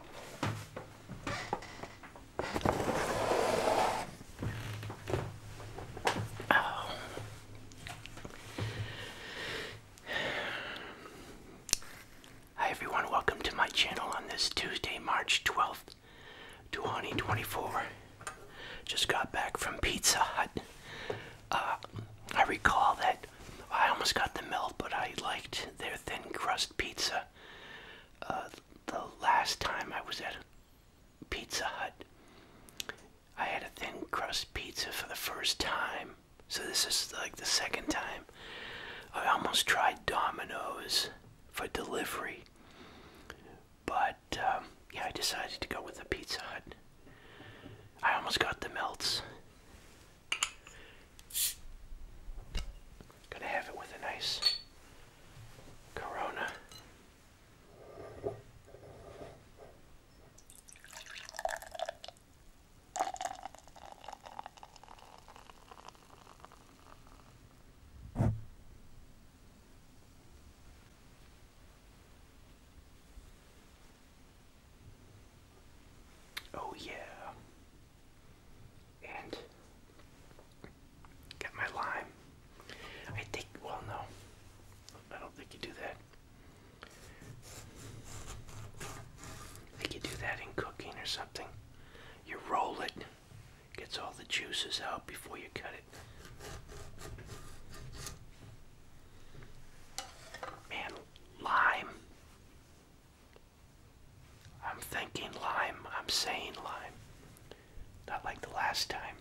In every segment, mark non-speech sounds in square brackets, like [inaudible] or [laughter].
Oh. Hi everyone, welcome to my channel on this Tuesday, March 12th, 2024. Just got back from Pizza Hut. Uh, I recall that I almost got the melt, but I liked their thin crust pizza. Uh, the last time I was at Pizza Hut, I had a thin crust pizza for the first time. So this is like the second time. I almost tried Domino's for delivery, but um, yeah, I decided to go with the Pizza Hut. I almost got the melts. Gonna have it with a nice Corona. Oh, yeah and got my lime. I think, well, no, I don't think you do that. I think you do that in cooking or something. You roll it, gets all the juices out before you cut it. Man, lime I'm thinking lime. I'm saying lime. Not like the last time.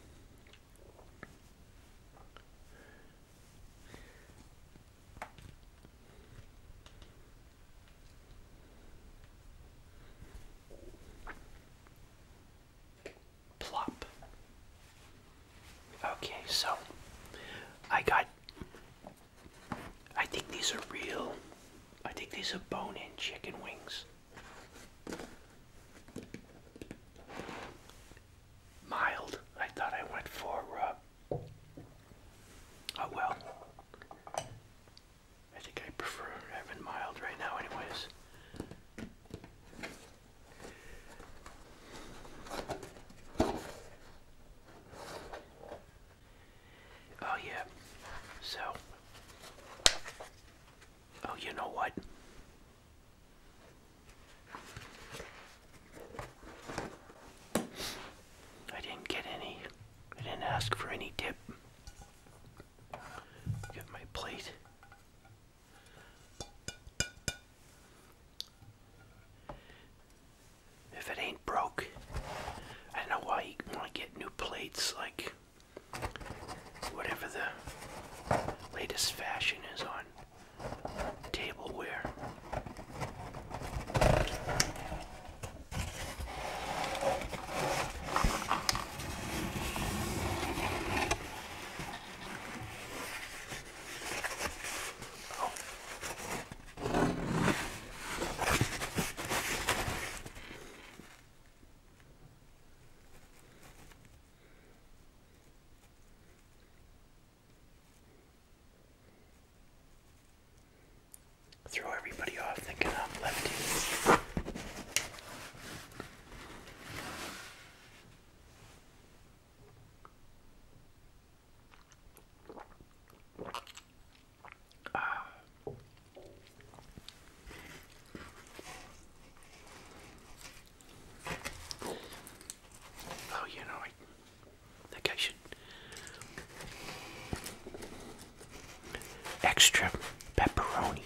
Plop. Okay, so I got I think these are real. I think these are bone in chicken wings. Mild. I thought I went for, uh, oh well. I think I prefer having mild right now, anyways. Oh yeah. So. Oh, you know what? I didn't get any. I didn't ask for any dip. Get my plate if it ain't broke. I don't know why you want to get new plates, like whatever the latest fashion is on tableware. Throw everybody off thinking I'm lefty. Oh. oh, you know, I think extra pepperoni.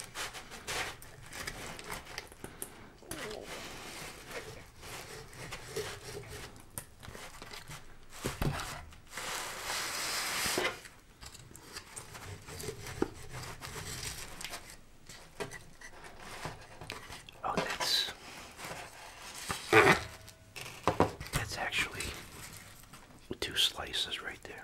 Oh, that's that's actually two slices right there.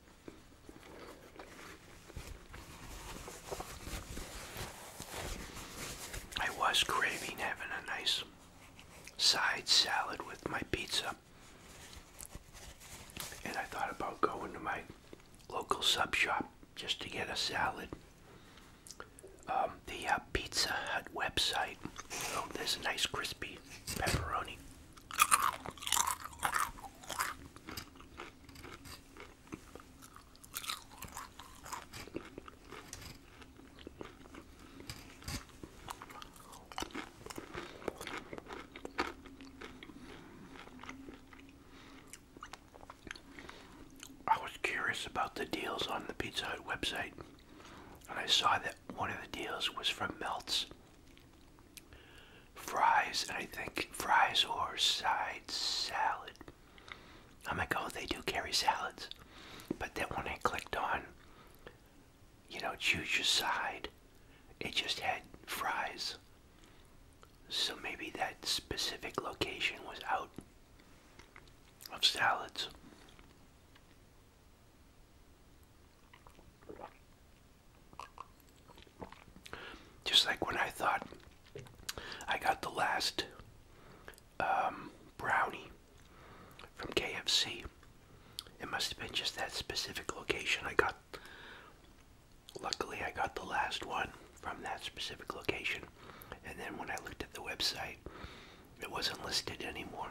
I was craving having a nice side salad with my pizza. And I thought about going to my local sub shop just to get a salad. Um, the uh, Pizza Hut website. Oh, there's a nice crispy pepperoni. I was curious about the deals on the Pizza Hut website, and I saw that one of the deals was from Melts fries, and I think fries or side salad. I'm like, oh, they do carry salads. But then when I clicked on, you know, choose your side, it just had fries. So maybe that specific location was out of salads. Just like when I thought I got the last um, brownie from KFC. It must have been just that specific location I got. Luckily, I got the last one from that specific location. And then when I looked at the website, it wasn't listed anymore.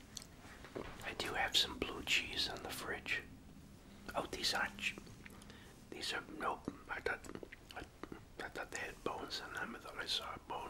I do have some blue cheese in the fridge. Oh, these aren't. These are nope. I thought I, thought they had bones in them. I thought I saw a bone.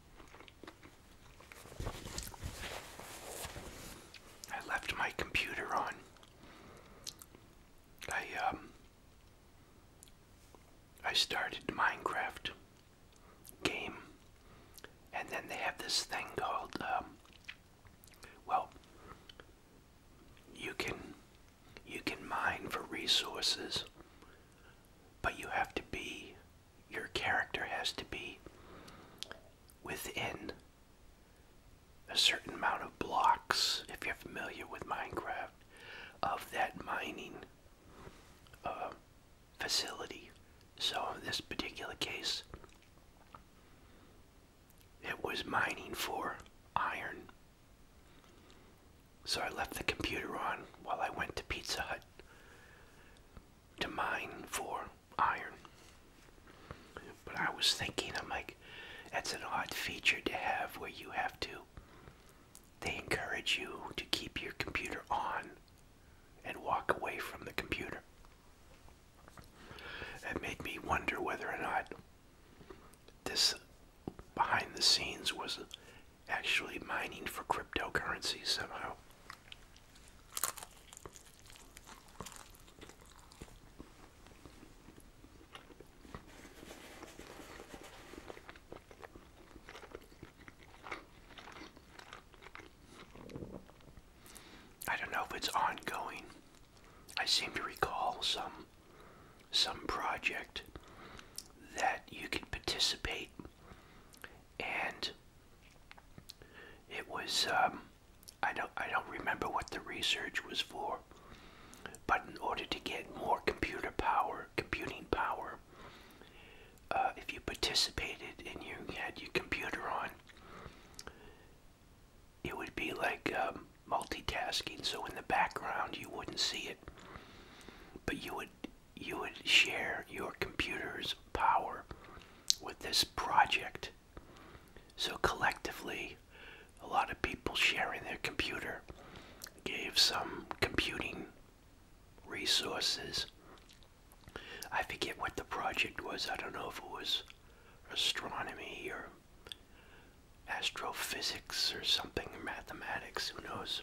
I left my computer on. I um I started Minecraft game and then they have this thing called um, well you can you can mine for resources but you have to be your character has to be within a certain amount of blocks, if you're familiar with Minecraft, of that mining uh, facility. So, in this particular case, it was mining for iron. So I left the computer on while I went to Pizza Hut to mine for iron. But I was thinking, I'm like, that's an odd feature to have where you have to, they encourage you to keep your computer on and walk away from the computer. That made me wonder whether or not this behind the scenes was actually mining for cryptocurrency somehow. I don't know if it's ongoing. I seem to recall some some project that you can participate and it was um, I don't I don't remember what the research was for, but in order to get more computer power, computing power, uh, if you participated and you had your computer on, it would be like um, multitasking. So in the background you wouldn't see it, but you would you would share your computer's power with this project. So collectively, a lot of people sharing their computer gave some computing resources. I forget what the project was. I don't know if it was astronomy or astrophysics or something, mathematics, who knows.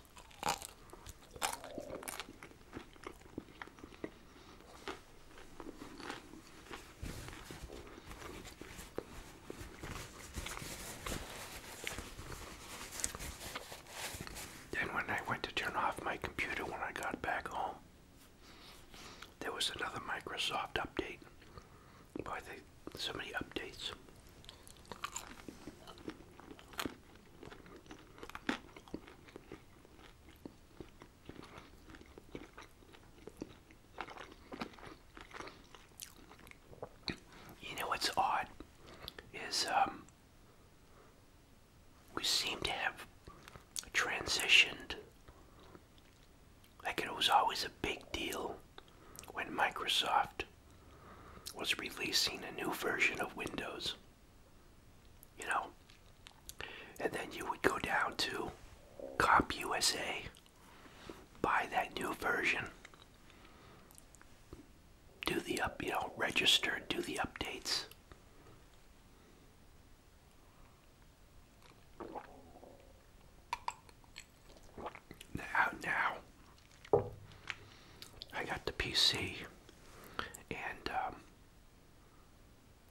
Then, when I went to turn off my computer when I got back home, there was another Microsoft update. Boy, they so many updates. You know what's odd is um, we seem to have transitioned. Like it was always a big deal when Microsoft was releasing a new version of Windows. You know? And then you would go down to Cop USA, buy that new version, do the up, you know, register, do the updates. Now, now, I got the PC and um,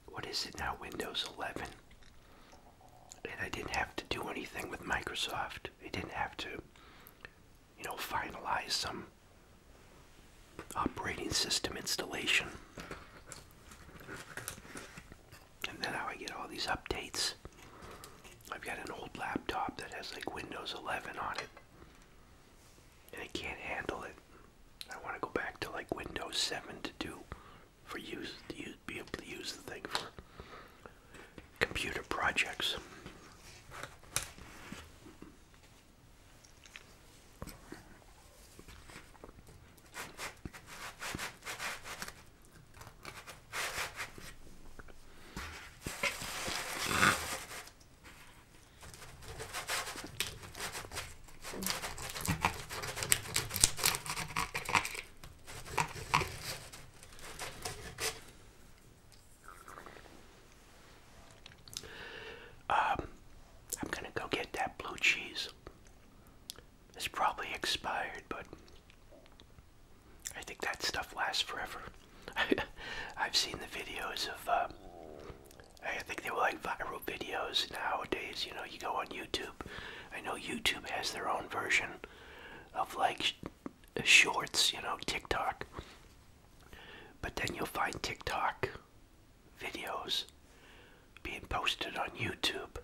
what is it now? Windows 11. And I didn't have to do anything with Microsoft. I didn't have to, you know, finalize some operating system installation. And then how I get all these updates. I've got an old laptop that has like Windows 11 on it and I can't handle it. I want to go back to like Windows 7 to do for use to be able to use the thing for computer projects. Um, I'm gonna go get that blue cheese. It's probably expired, but I think that stuff lasts forever. [laughs] I've seen the videos of, um, I think they were like viral videos nowadays. You know, you go on YouTube. I know YouTube has their own version of like shorts, you know, TikTok. But then you'll find TikTok videos being posted on YouTube.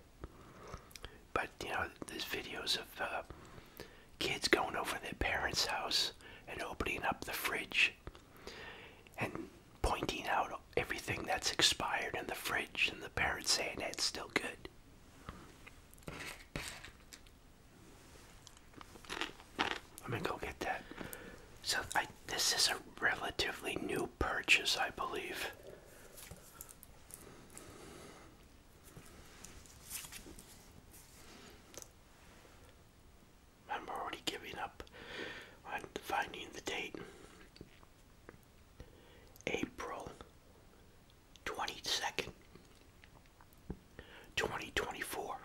But, you know, there's videos of uh, kids going over their parents' house and opening up the fridge and pointing out everything that's expired in the fridge and the parents saying it's still good. I'm gonna go get that. So this is a relatively new purchase, I believe. I'm already giving up on finding the date. April 22nd, 2024.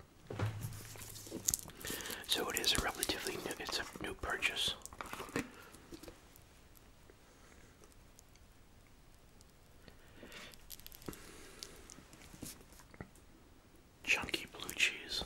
So it is a relatively new, it's a new purchase chunky blue cheese.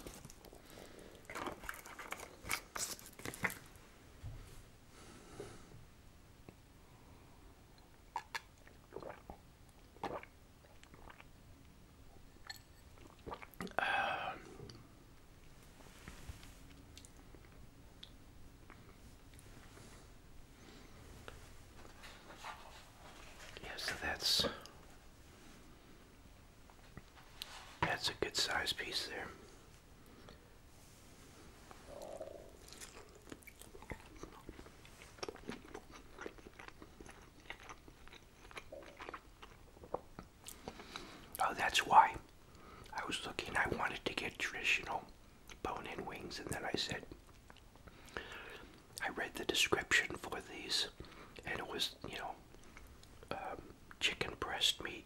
Yeah, so that's that's a good size piece there. Oh, that's why I was looking. I wanted to get traditional bone in wings, and then I said, I read the description for these, and it was, you know, um, chicken breast meat.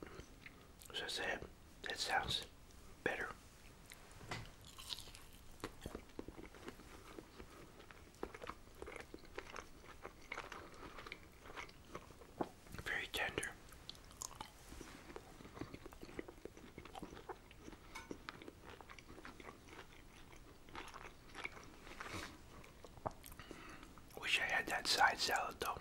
So I said, that sounds better. Very tender. Wish I had that side salad though.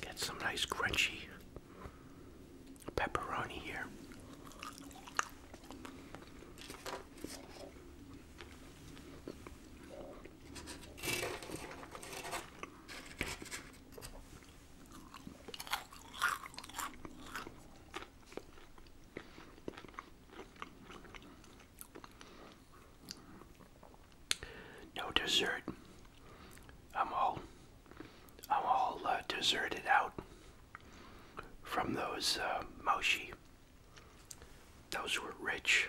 Get some nice crunchy pepperoni here. No dessert. I'm all I'm all uh, deserted out from those uh, mochi. Those were rich.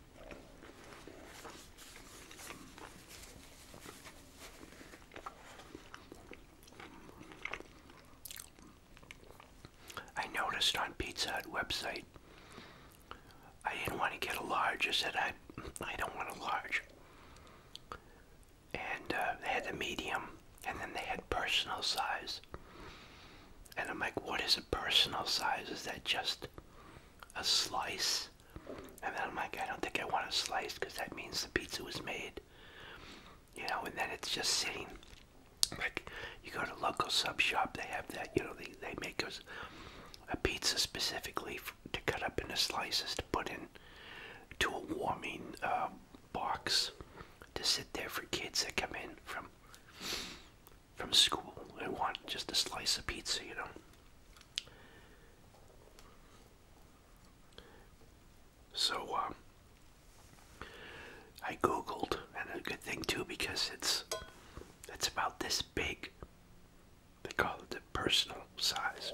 I noticed on Pizza Hut website, I didn't want to get a large. I said, I, I don't want a large. And uh, they had a medium, and then they had personal size. And I'm like, what is a personal size? Is that just a slice. And then I'm like, I don't think I want a slice because that means the pizza was made. You know, and then it's just sitting. Like, you go to local sub shop, they have that, you know, they, they make us a pizza specifically to cut up into slices to put in to a warming uh, box to sit there for kids that come in from from school I want just a slice of pizza, you know. So, um, I googled, and a good thing too because it's it's about this big. They call it the personal size.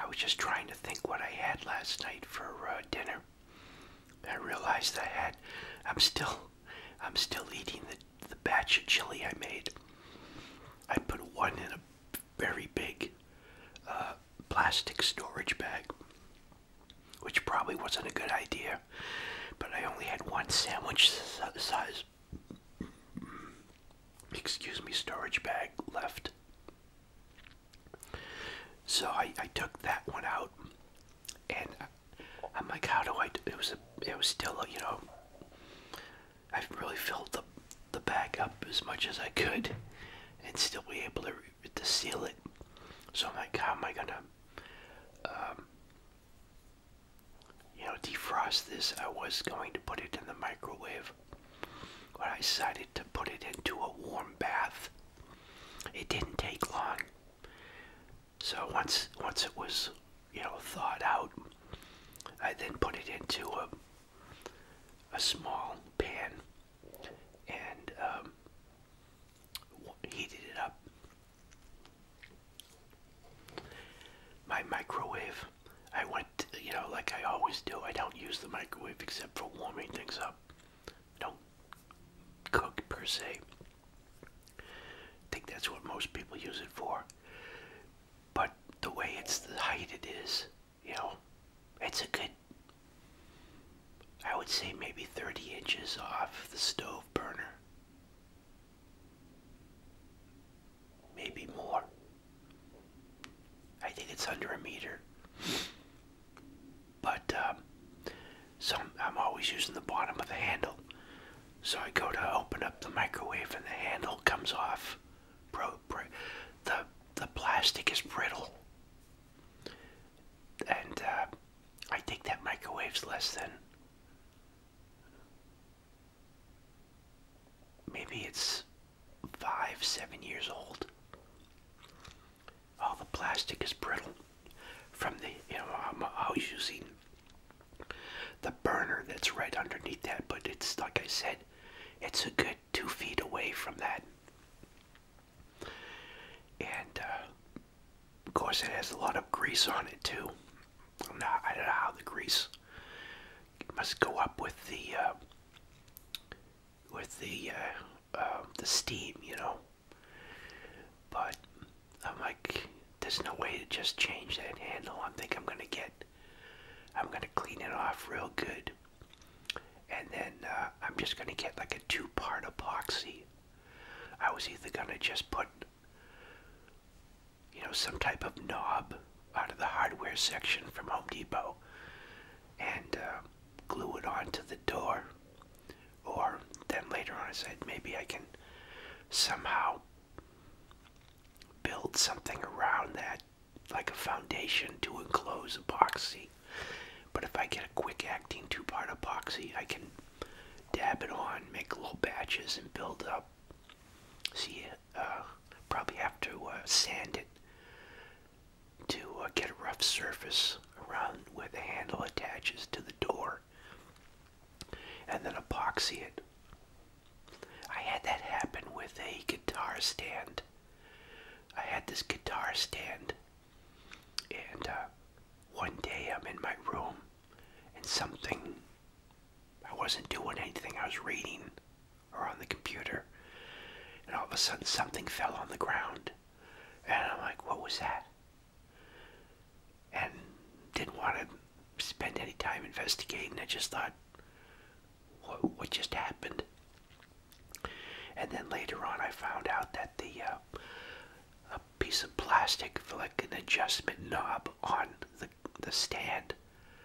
I was just trying to think what I had last night for uh, dinner. I realized I had. I'm still, I'm still eating the the batch of chili I made. I put one in a very big uh, plastic storage bag, which probably wasn't a good idea. But I only had one sandwich size excuse me, storage bag left. So I, I took that one out, and I'm like, how do I? Do? It was a, it was still you know. I really filled the the bag up as much as I could, and still be able to to seal it. So I'm like, how am I gonna um, you know, defrost this. I was going to put it in the microwave, but I decided to put it into a warm bath. It didn't take long. So once once it was, you know, thawed out, I then put it into a a small pan and um, heated it up my microwave, I went, you know, like I always do, I don't use the microwave except for warming things up. don't cook per se. I think that's what most people use it for. But the way it's the height it is, you know, it's a good, I would say maybe 30 inches off the stove burner. Maybe more. I think it's under a meter. But um, so I'm always using the bottom of the handle. So I go to open up the microwave and the handle comes off. Bro, the, the plastic is brittle. And uh, I think that microwave's less than Maybe it's five, seven years old. All the plastic is brittle from the, you know, I'm always using the burner that's right underneath that, but it's like I said, it's a good two feet away from that. And uh, of course, it has a lot of grease on it too. i don't know how the grease must go up with the uh, with the uh, um, the steam, you know. But I'm like, there's no way to just change that handle. I think I'm gonna get, I'm gonna clean it off real good, and then uh, I'm just gonna get like a two-part epoxy. I was either gonna just put you know, some type of knob out of the hardware section from Home Depot and uh, glue it onto the door. Or then later on, I said maybe I can somehow build something around that, like a foundation to enclose epoxy. But if I get a quick acting two part epoxy, I can dab it on, make little batches and build up. See, uh, probably have to uh, sand it to uh, get a rough surface around where the handle attaches to the door and then epoxy it. I had that happen with a guitar stand. I had this guitar stand, and uh, one day I'm in my room and something. I wasn't doing anything, I was reading or on the computer, and all of a sudden something fell on the ground, and I'm like, what was that? And didn't want to spend any time investigating, I just thought, what, what just happened? And then later on, I found out that the uh, piece of plastic for like an adjustment knob on the, the stand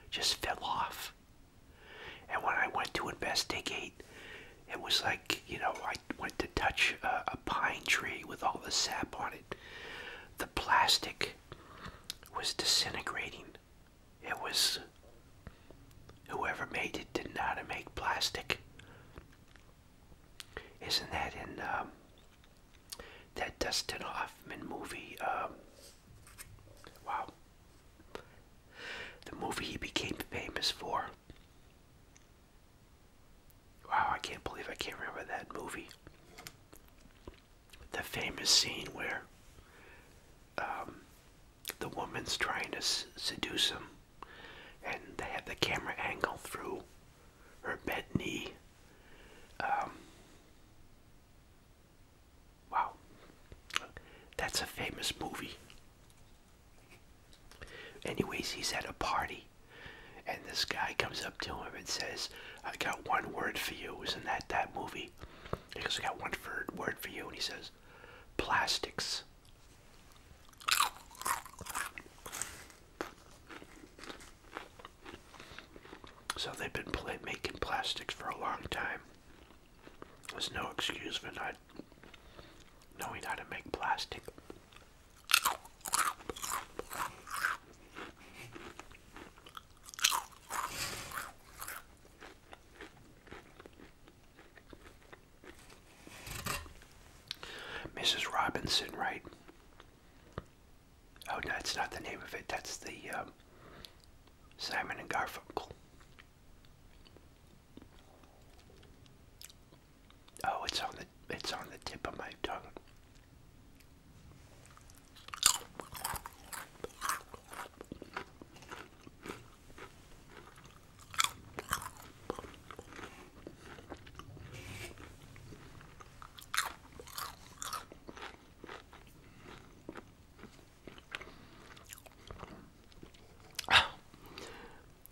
just fell off. And when I went to investigate, it was like, you know, I went to touch a, pine tree with all the sap on it. The plastic was disintegrating. It was. Whoever made it didn't know how to make plastic. Isn't that in um, that Dustin Hoffman movie. Um, wow. The movie he became famous for. Wow, I can't believe I can't remember that movie. The famous scene where um, the woman's trying to seduce him, and they have the camera angle through her bent knee um, wow, that's a famous movie. Anyways, he's at a party, and this guy comes up to him and says, I got one word for you. Isn't that that movie? He goes, I got one word for you. And he says, plastics. So they've been making plastics for a long time. There's no excuse for not knowing how to make plastic. Mrs. Robinson, right? Oh, no, that's not the name of it. That's the um, Simon and Garfunkel. Oh, it's on the it's on the tip of my tongue.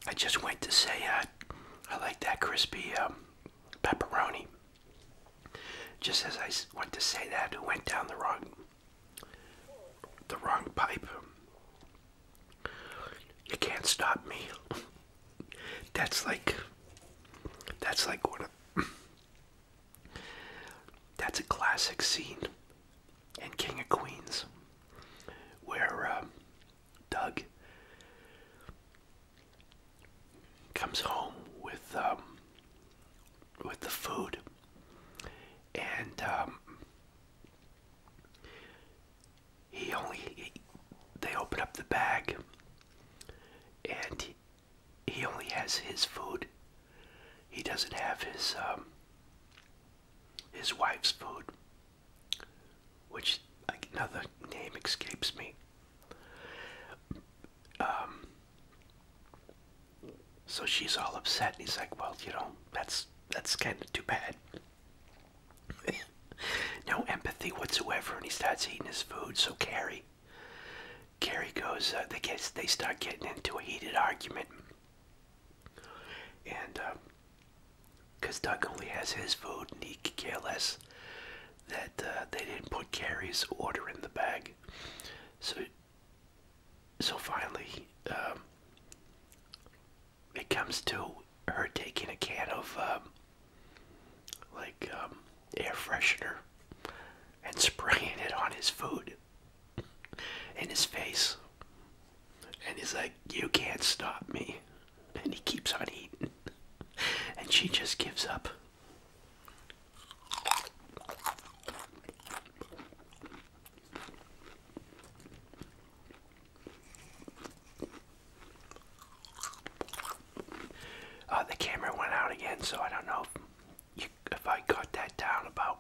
I just went to say uh, I like that crispy um, pepperoni. Just as I went to say that, it went down the wrong, the wrong pipe. You can't stop me that's like that's like what a that's a classic scene in King of Queens where uh, Doug comes home with um, with the food and um, he only they open up the bag and he, only has his food. He doesn't have his um, his wife's food, which another name escapes me. Um, so she's all upset, and he's like, "Well, you know, that's that's kind of too bad." [laughs] no empathy whatsoever, and he starts eating his food. So Carrie, Carrie goes. Uh, they get they start getting into a heated argument, and because uh, Doug only has his food and he could less that uh, they didn't put Carrie's order in the bag, so so finally. Um, it comes to her taking a can of um, like um, air freshener and [laughs] spraying it on his food and his face. And he's like, You can't stop me. [laughs] And he keeps on eating. [laughs] And she just gives up. Uh, the camera went out again, so I don't know if, I cut that down about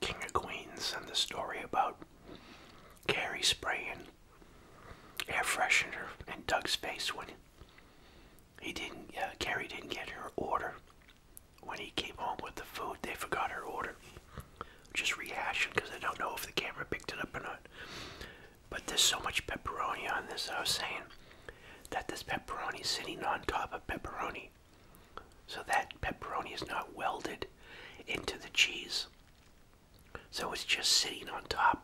King of Queens and the story about Carrie spraying air freshener in Doug's face when he didn't, uh, Carrie didn't get her order. When he came home with the food, they forgot her order. Just rehashing because I don't know if the camera picked it up or not. But there's so much pepperoni on this, I was saying, that this pepperoni is sitting on top of pepperoni. So that pepperoni is not welded into the cheese. So it's just sitting on top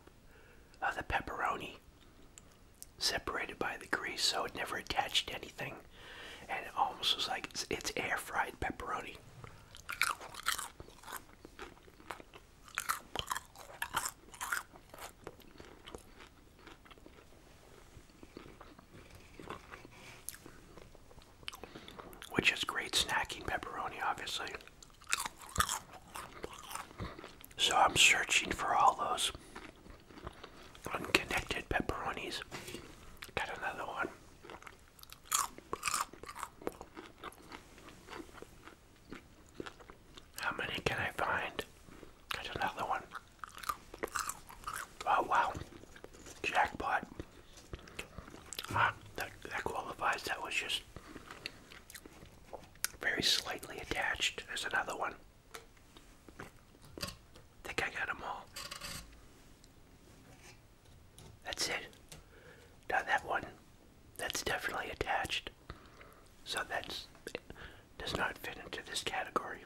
of the pepperoni, separated by the grease, so it never attached anything. And it almost was like it's air fried pepperoni. Which is great snacking pepperoni, obviously. So I'm searching for all those unconnected pepperonis. Got another one. How many can I find? There's another one. Oh wow. Jackpot. Ah, that, qualifies. That was just very slightly attached. There's another one. think I got them all. That's it. Now that one that's definitely attached. So that's does not fit into this category.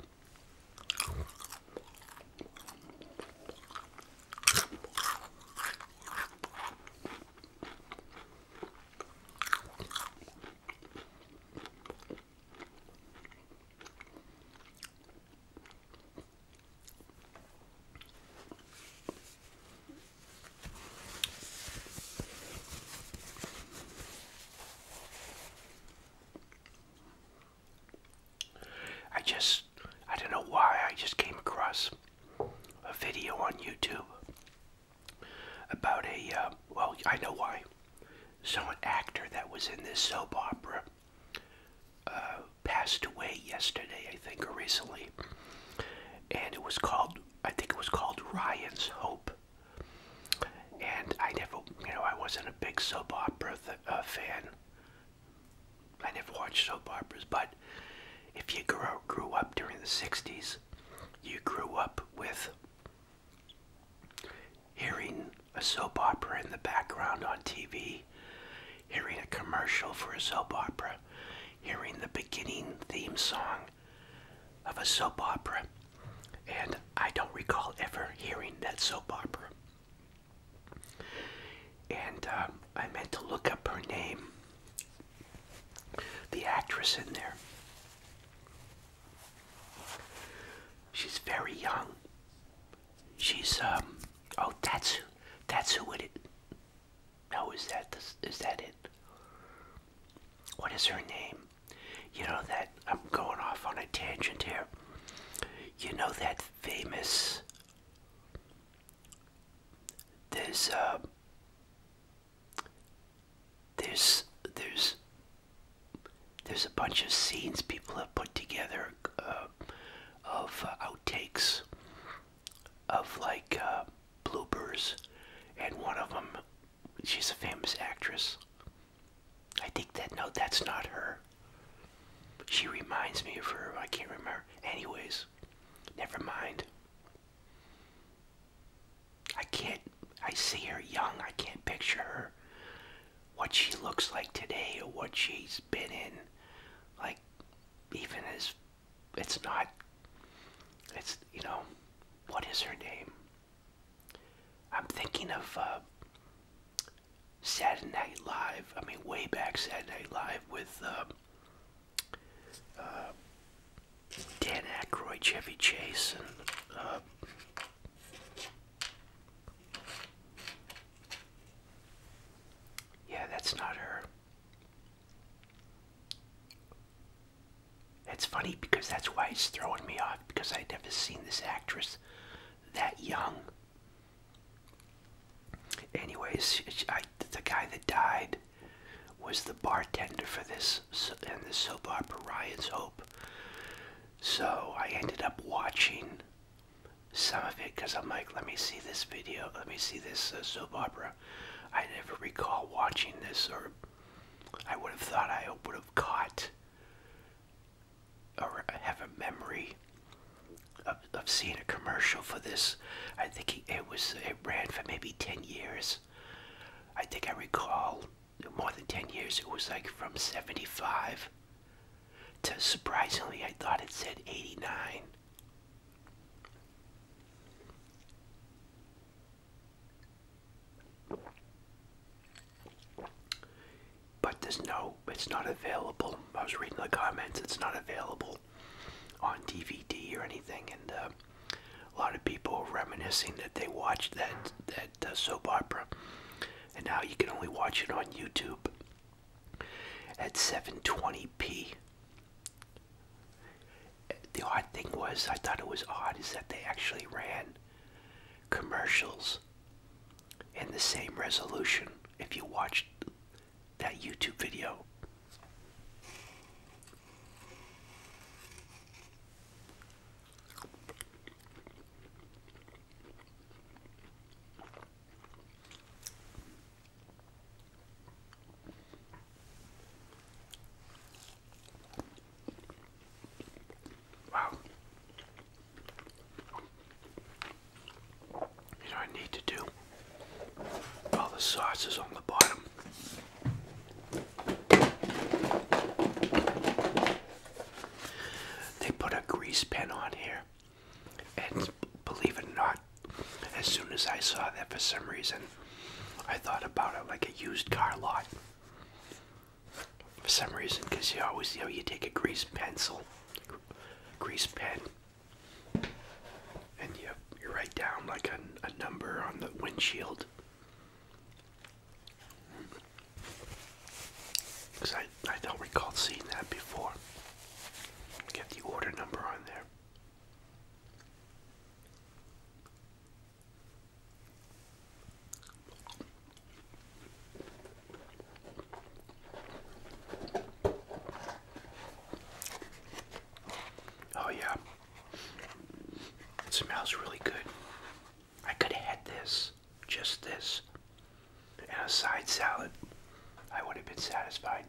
I just, I don't know why, I just came across a video on YouTube about a, uh, well, I know why. So an actor that was in this soap opera uh, passed away yesterday, I think, or recently and it was called I think it was called Ryan's Hope. And I never, you know, I wasn't a big soap opera uh, fan. I never watched soap operas, but if you grew up during the '60s, you grew up with hearing a soap opera in the background on TV, hearing a commercial for a soap opera, hearing the beginning theme song of a soap opera, and I don't recall ever hearing that soap opera. And uh, I meant to look up her name, the actress in there. She's very young. She's um oh that's who. that's who it no, is that this? Is that it? What is her name? You know that I'm going off on a tangent here. You know that famous. There's uh. There's there's. There's a bunch of scenes people have put together uh, of uh, outtakes of like uh, bloopers, and one of them, she's a famous actress. I think that no, that's not her. She reminds me of her. I can't remember. Anyways, never mind. I can't. I see her young. I can't picture her. What she looks like today, or what she's been in, like even as it's not it's you know what is her name i'm thinking of uh, saturday night live i mean way back saturday night live with uh, uh, dan Aykroyd, chevy chase and uh, yeah that's not her it's funny because that's why it's throwing me off because I'd never seen this actress that young. Anyways, the guy that died was the bartender for this and the soap opera Ryan's Hope. So I ended up watching some of it because I'm like, let me see this video, let me see this uh, soap opera. I never recall watching this, or I would have thought I would have caught or have a memory of, of seeing a commercial for this. I think it was it ran for maybe ten years. I think I recall more than ten years. It was like from seventy five to surprisingly, I thought it said eighty nine. But there's no, it's not available. I was reading the comments, it's not available on DVD or anything, and uh, a lot of people are reminiscing that they watched that that uh, soap opera, and now you can only watch it on YouTube at 720p. The odd thing was, I thought it was odd, is that they actually ran commercials in the same resolution if you watched that YouTube video. Wow. You know I need to do all the sauces on the bottom. They put a grease pen on here and believe it or not, as soon as I saw that for some reason, I thought about it like a used car lot. For some reason, because you always, you know, you take a grease pencil, grease pen, and you, you write down like a, a number on the windshield. Because I, I don't recall seeing that before. Get the order number on there. Oh, yeah, it smells really good. I could have had this, just this, and a side salad. I would have been satisfied.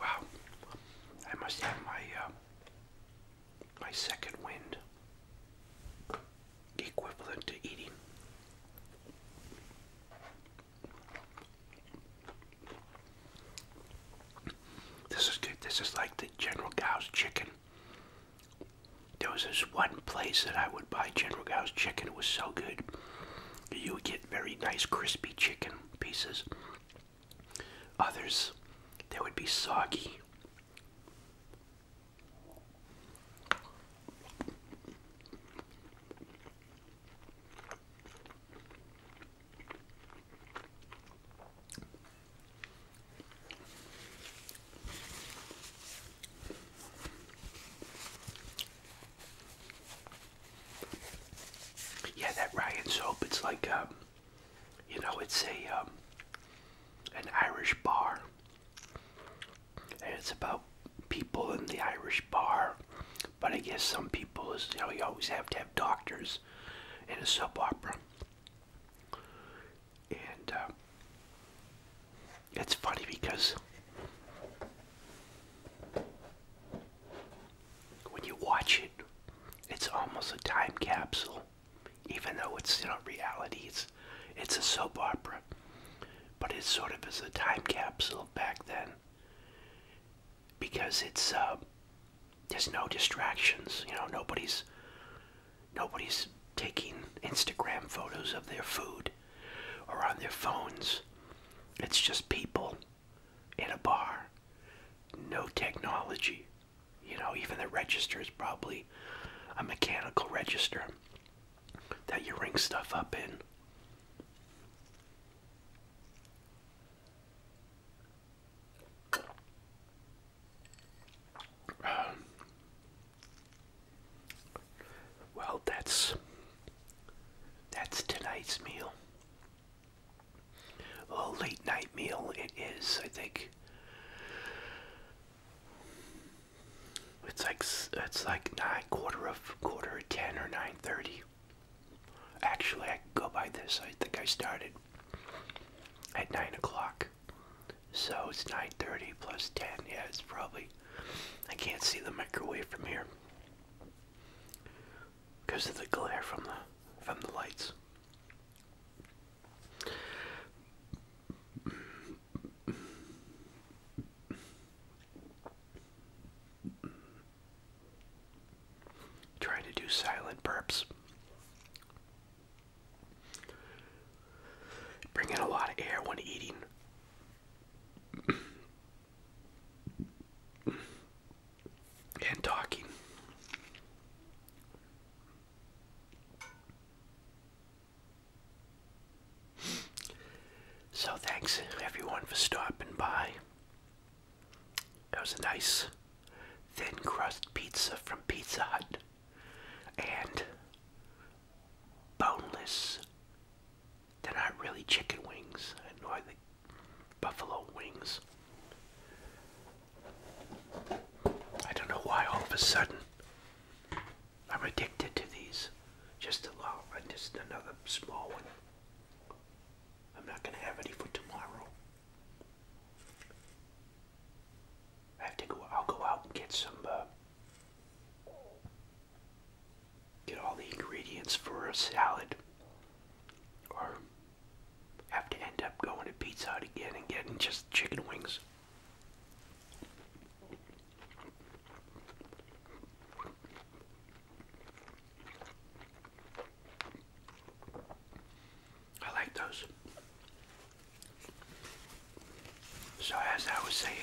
Wow, I must have my uh, my second wind equivalent to eating. This is good. This is like the General Gao's chicken. There was this one place that I would buy General Gao's chicken. It was so good. You would get very nice crispy chicken pieces. Others, they would be soggy. Yeah, that Ryan soap, it's like, um, you know, it's a, um, an Irish bar. And it's about people in the Irish bar. But I guess some people, you know, you always have to have doctors was in a soap opera. And uh, it's funny because when you watch it, it's almost a time capsule, even though it's you know reality. It's it's a soap opera, but it sort of is a time capsule back then, because it's uh, there's no distractions. You know, nobody's nobody's taking Instagram photos of their food or on their phones. It's just people in a bar. No technology. You know, even the register is probably a mechanical register that you ring stuff up in well, that's that's tonight's meal. A late night meal it is, I think. It's like it's like nine quarter of quarter ten or nine thirty. Actually, I can go by this. I think I started at 9 o'clock. So it's 9.30 plus 10. Yeah, it's probably... I can't see the microwave from here. Because of the glare from the, from the lights. Trying to do silent burps. Bring a lot of air when eating. and talking. So, thanks everyone for stopping by. That was a nice thin crust pizza from Pizza Hut and boneless. They're not really chicken wings, nor the buffalo wings. I don't know why all of a sudden I'm addicted to these. Just a little, one, just another small one. I'm not gonna have any for tomorrow. I have to go. I'll go out and get some. Uh, get all the ingredients for a salad, or have to end up going to Pizza Hut again and getting just chicken wings. I like those. So as I was saying,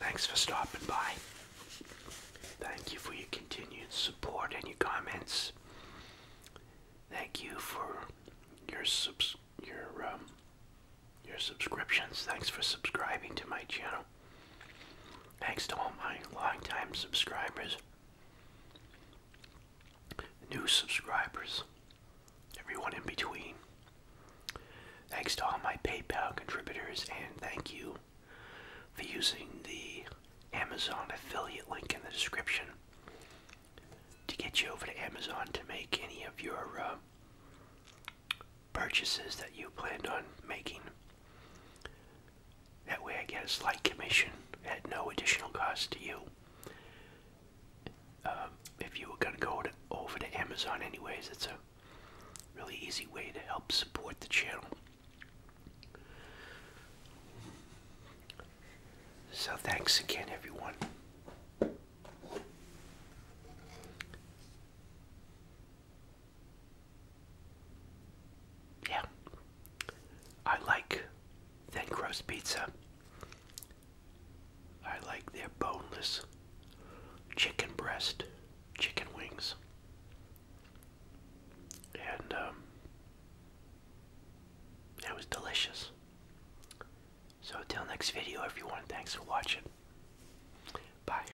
thanks for stopping by. Thank you for your continued support and your comments. Thank you for your subs your um, your subscriptions. Thanks for subscribing to my channel. Thanks to all my longtime subscribers, new subscribers, everyone in between. Thanks to all my PayPal contributors, and thank you for using the Amazon affiliate link in the description to get you over to Amazon to make any of your uh, purchases that you planned on making. That way I get a slight commission at no additional cost to you. Um, if you were going go to go over to Amazon anyways, it's a really easy way to help support the channel. So thanks again everyone. Yeah. I like Thin Crust Pizza. I like their boneless chicken breast, chicken wings. And um, it was delicious. So, until next video, everyone, thanks for watching. Bye.